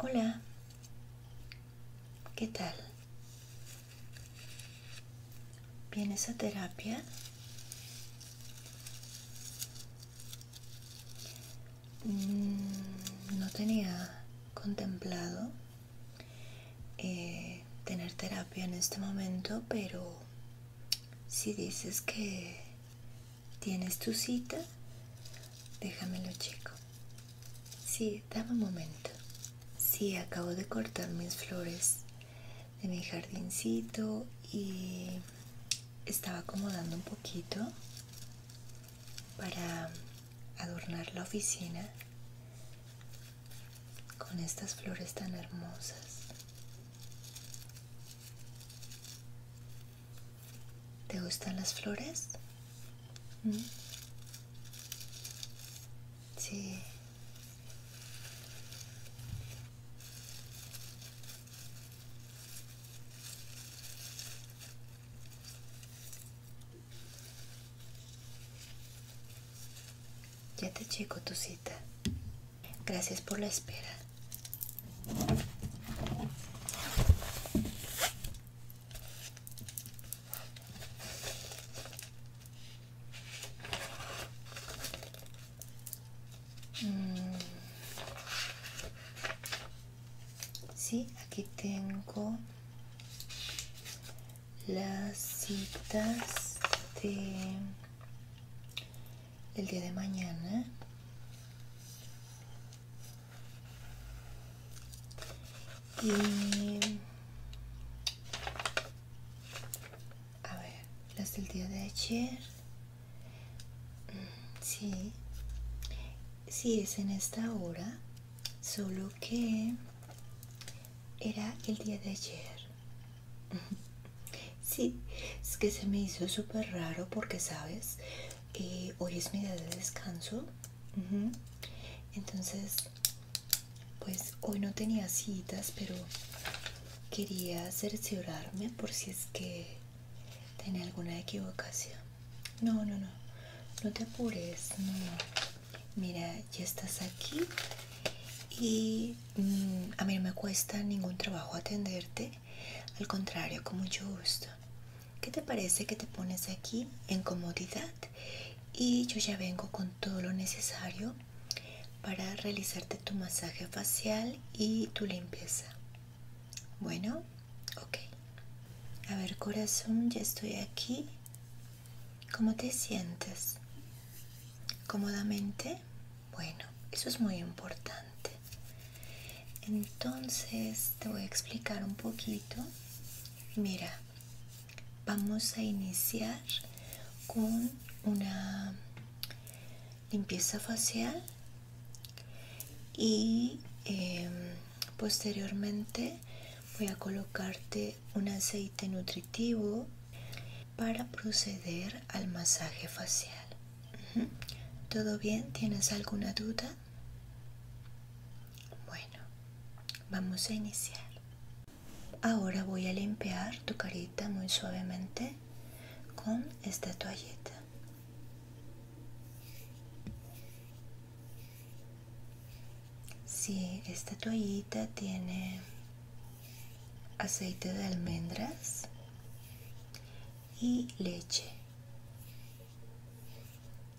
Hola, ¿qué tal? ¿Vienes a terapia? Mm, no tenía contemplado eh, tener terapia en este momento, pero si dices que tienes tu cita, déjamelo chico Sí, dame un momento. si acabo de cortar mis flores de mi jardincito y estaba acomodando un poquito para adornar la oficina con estas flores tan hermosas. ¿Te gustan las flores? ¿Mm? Sí. Ya te chico tu cita. Gracias por la espera. Mm. Sí, aquí tengo las citas de el día de mañana y a ver las del día de ayer mm, sí sí es en esta hora solo que era el día de ayer Sí, es que se me hizo súper raro porque, ¿sabes? que eh, hoy es mi día de descanso. Entonces, pues hoy no tenía citas, pero quería cerciorarme por si es que tenía alguna equivocación. No, no, no. No te apures. No, Mira, ya estás aquí y mm, a mí no me cuesta ningún trabajo atenderte al contrario, con mucho gusto. ¿Qué te parece que te pones aquí en comodidad? Y yo ya vengo con todo lo necesario para realizarte tu masaje facial y tu limpieza. Bueno, ok. A ver, corazón, ya estoy aquí. ¿Cómo te sientes? ¿Cómodamente? Bueno, eso es muy importante. Entonces te voy a explicar un poquito. Mira, vamos a iniciar con una limpieza facial y em, posteriormente voy a colocarte un aceite nutritivo para proceder al masaje facial. ¿Todo bien? ¿Tienes alguna duda? Bueno, vamos a iniciar. Ahora voy a limpiar tu carita muy suavemente con esta toallita. Sí, esta toallita tiene aceite de almendras y leche.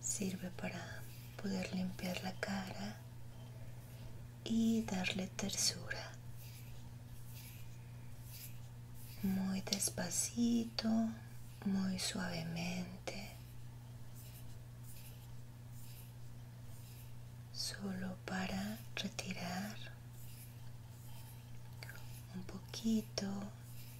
Sirve para poder limpiar la cara y darle tersura. Muy despacito, muy suavemente. Solo para retirar un poquito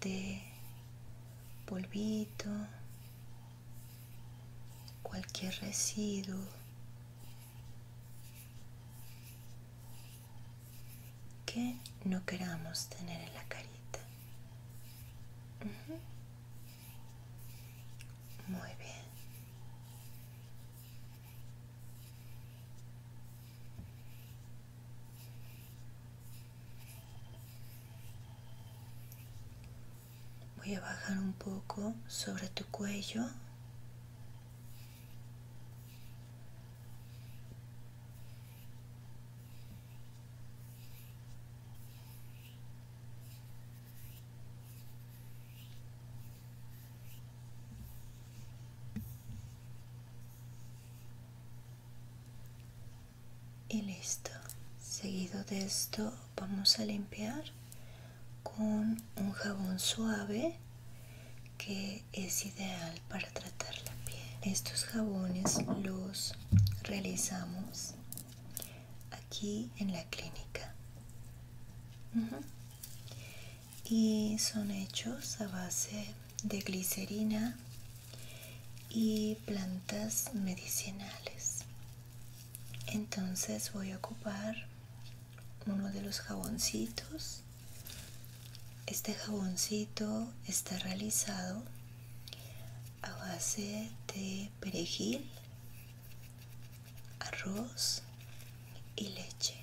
de polvito, cualquier residuo que no queramos tener en la carita. Muy bien. Voy a bajar un poco sobre tu cuello y listo seguido de esto vamos a limpiar con un jabón suave que es ideal para tratar la piel estos jabones los realizamos aquí en la clínica y son hechos a base de glicerina y plantas medicinales entonces voy a ocupar uno de los jaboncitos este jaboncito está realizado a base de perejil arroz y leche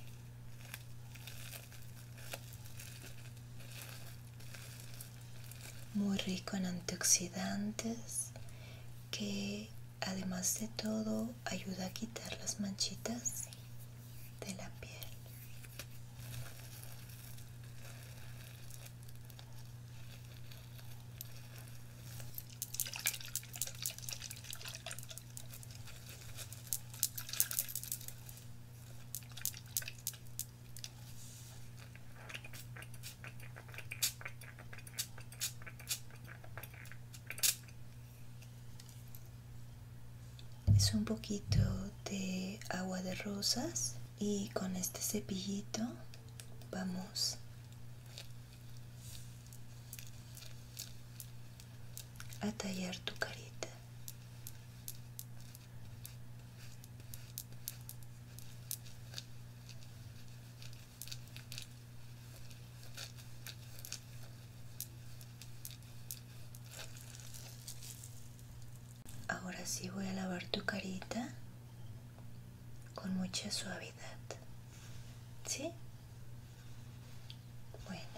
muy rico en antioxidantes que además de todo ayuda a quitar las manchitas de la piel es un poquito de agua de rosas y con este cepillito vamos a tallar tu carita. Ahora sí voy a lavar tu carita con mucha suavidad. ¿Sí? Bueno.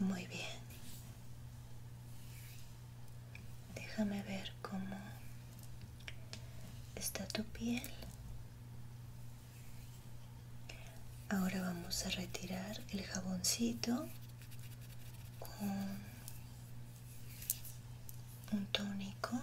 Muy bien. Déjame ver cómo está tu piel. Ahora vamos a retirar el jaboncito con un tónico.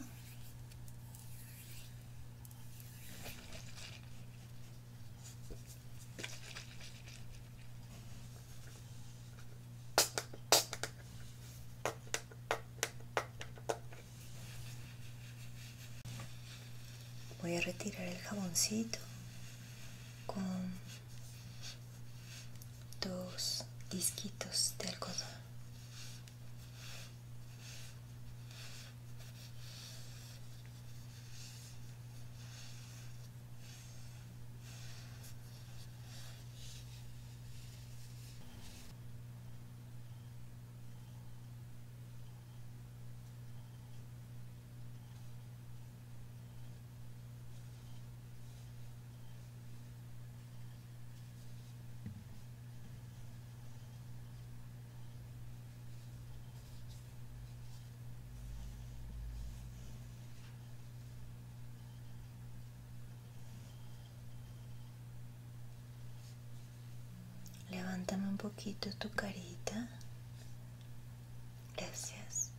Voy a retirar el jaboncito con dos disquitos de algodón Levántame un poquito tu carita Gracias.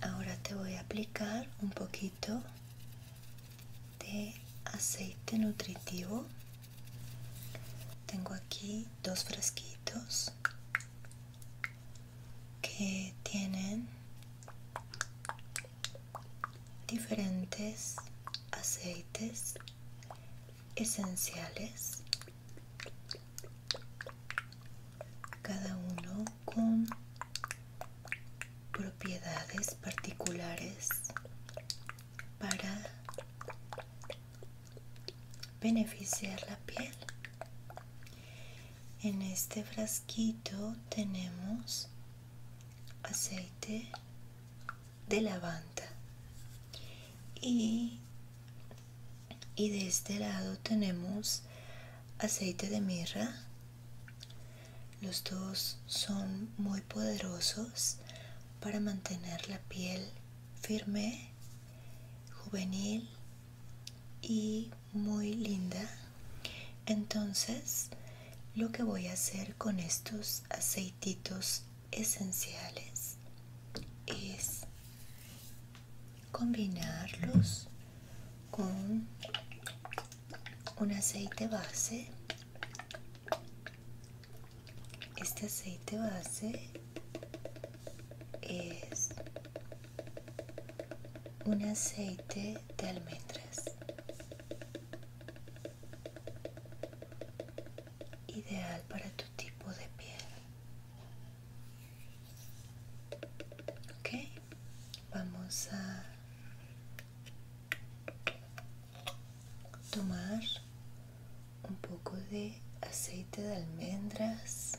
Ahora te voy a aplicar un poquito de aceite nutritivo. Tengo aquí dos fresquitos que tienen diferentes aceites esenciales cada uno con propiedades particulares para beneficiar la piel. En este frasquito tenemos aceite de lavanda y, y de este lado tenemos aceite de mirra. Los dos son muy poderosos para mantener la piel firme, juvenil y muy linda entonces lo que voy a hacer con estos aceititos esenciales es combinarlos con un aceite base este aceite base es un aceite de almendras ideal para tu tipo de piel ok vamos a tomar un poco de aceite de almendras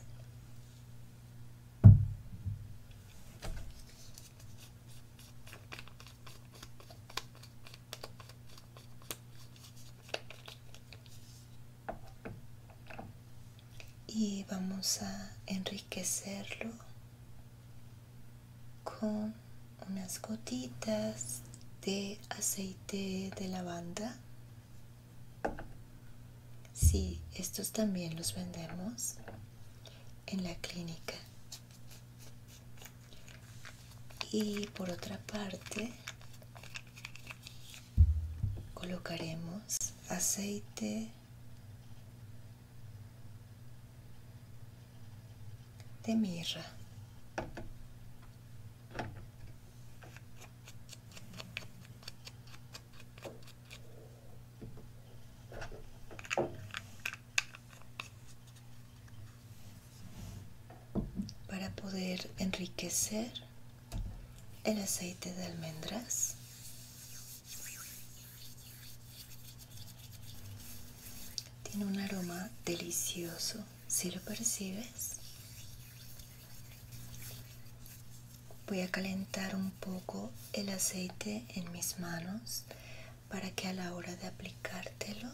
y vamos a enriquecerlo con unas gotitas de aceite de lavanda Sí, estos también los vendemos en la clínica. Y por otra parte, colocaremos aceite de mirra para poder enriquecer el aceite de almendras. Tiene un aroma delicioso, si lo percibes, Voy a calentar un poco el aceite en mis manos para que a la hora de aplicártelo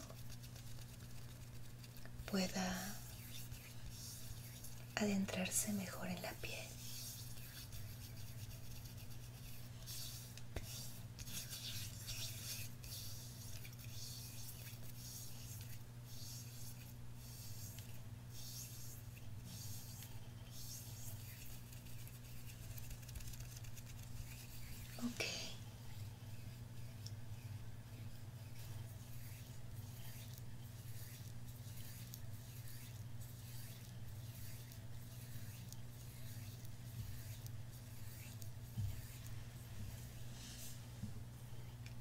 pueda adentrarse mejor en la piel. Okay.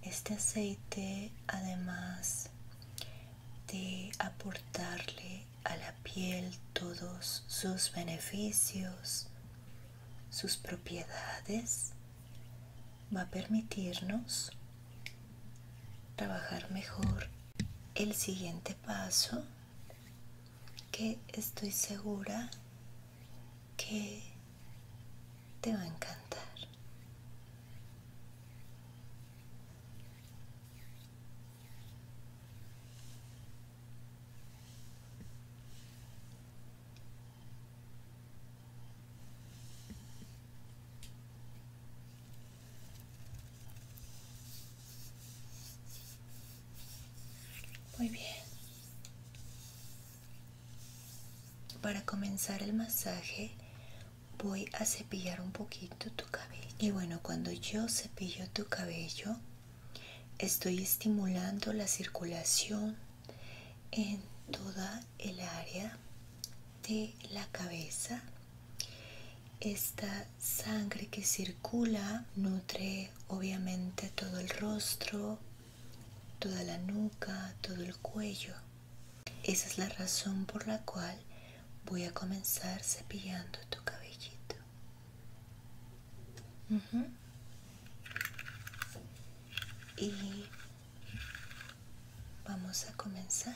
Este aceite además de aportarle a la piel todos sus beneficios, sus propiedades, va a permitirnos trabajar mejor el siguiente paso que estoy segura que te va a encantar. Muy bien. Para comenzar el masaje voy a cepillar un poquito tu cabello y bueno cuando yo cepillo tu cabello estoy estimulando la circulación en toda el área de la cabeza esta sangre que circula nutre obviamente todo el rostro toda la nuca todo el cuello esa es la razón por la cual voy a comenzar cepillando tu cabellito. Y vamos a comenzar.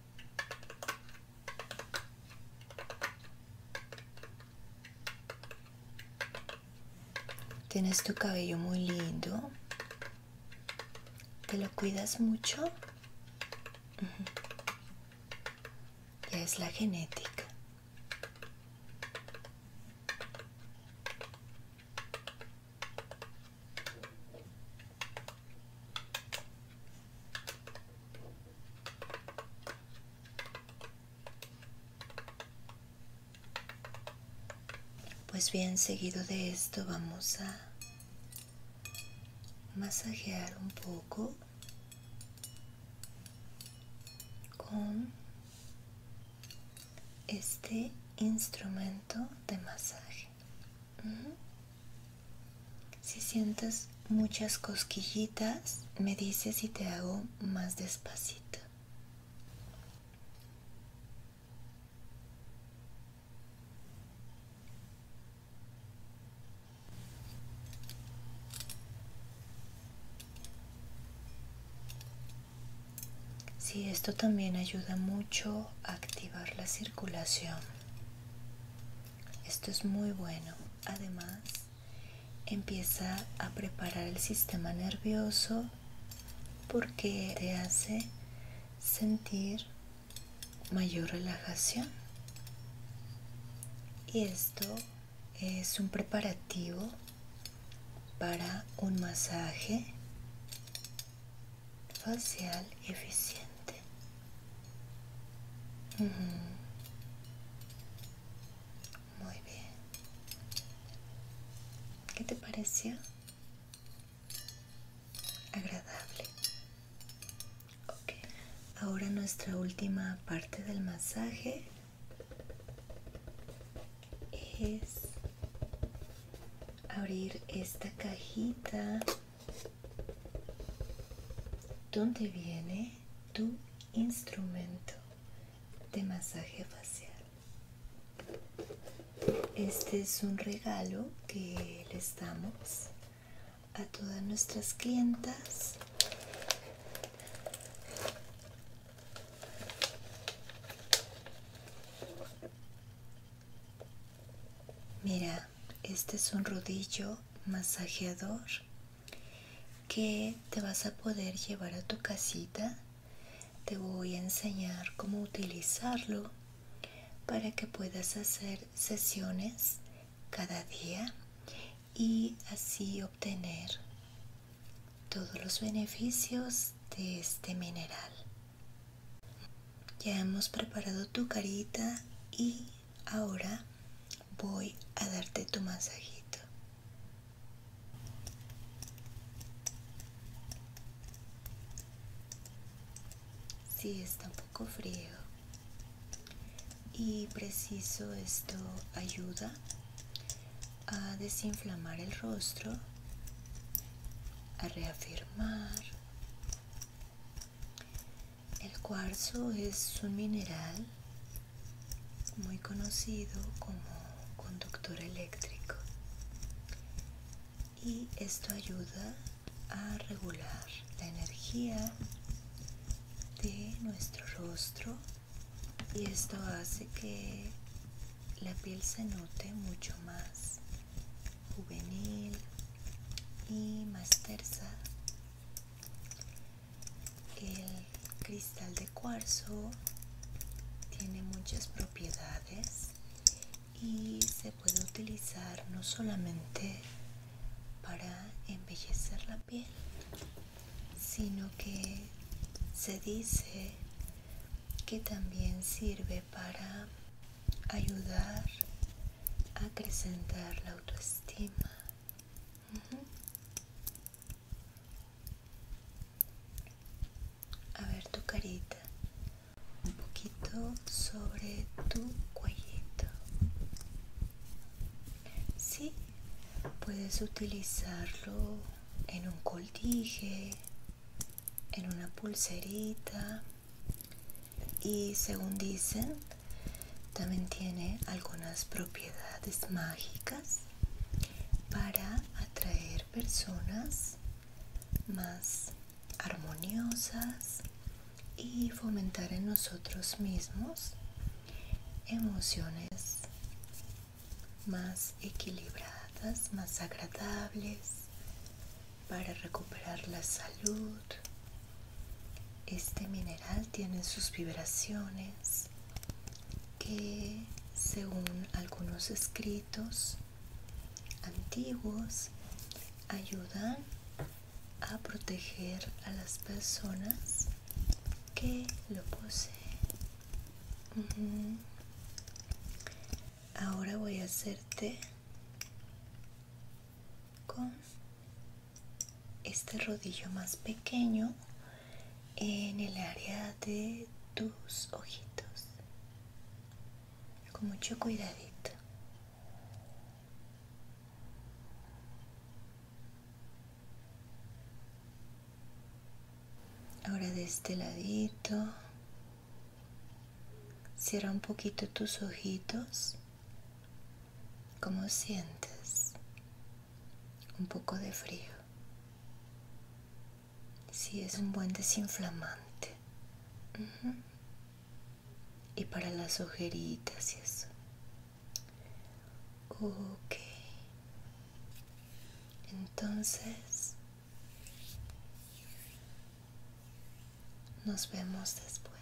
Tienes tu cabello muy lindo. ¿Te lo cuidas mucho? es la genética. Pues bien, seguido de esto vamos a masajear un poco con este instrumento de masaje. Si sientes muchas cosquillitas, me dices si te hago más despacito. si, esto también ayuda mucho a activar la circulación. Esto es muy bueno. Además, empieza a preparar el sistema nervioso porque te hace sentir mayor relajación. Y esto es un preparativo para un masaje facial eficiente. Muy bien. ¿Qué te pareció? Agradable. Ok. Ahora nuestra última parte del masaje es abrir esta cajita ¿Dónde viene tu instrumento de masaje facial? Este es un regalo que les damos a todas nuestras clientas. Mira, este es un rodillo masajeador que te vas a poder llevar a tu casita te voy a enseñar cómo utilizarlo para que puedas hacer sesiones cada día y así obtener todos los beneficios de este mineral ya hemos preparado tu carita y Ahora voy a darte tu masajito. si está un poco frío. Y preciso esto ayuda a desinflamar el rostro, a reafirmar el cuarzo es un mineral muy conocido como conductor eléctrico y esto ayuda a regular la energía de nuestro rostro y esto hace que la piel se note mucho más juvenil y más tersa el cristal de cuarzo tiene muchas propiedades y se puede utilizar no solamente para embellecer la piel sino que se dice que también sirve para ayudar a acrecentar la autoestima a ver tu carita, un poquito sobre tu cuellito. Sí, puedes utilizarlo en un coltije en una pulserita y según dicen también tiene algunas propiedades mágicas para atraer personas más armoniosas y fomentar en nosotros mismos emociones más equilibradas, más agradables, para recuperar la salud, este mineral tiene sus vibraciones que, según algunos escritos antiguos, ayudan a proteger a las personas que lo poseen. Ahora voy a hacerte con este rodillo más pequeño en el área de tus ojitos con mucho cuidadito ahora de este ladito cierra un poquito tus ojitos como sientes? Un poco de frío. si es un buen desinflamante. Y para las ojeritas y eso. Ok. Entonces, nos vemos después.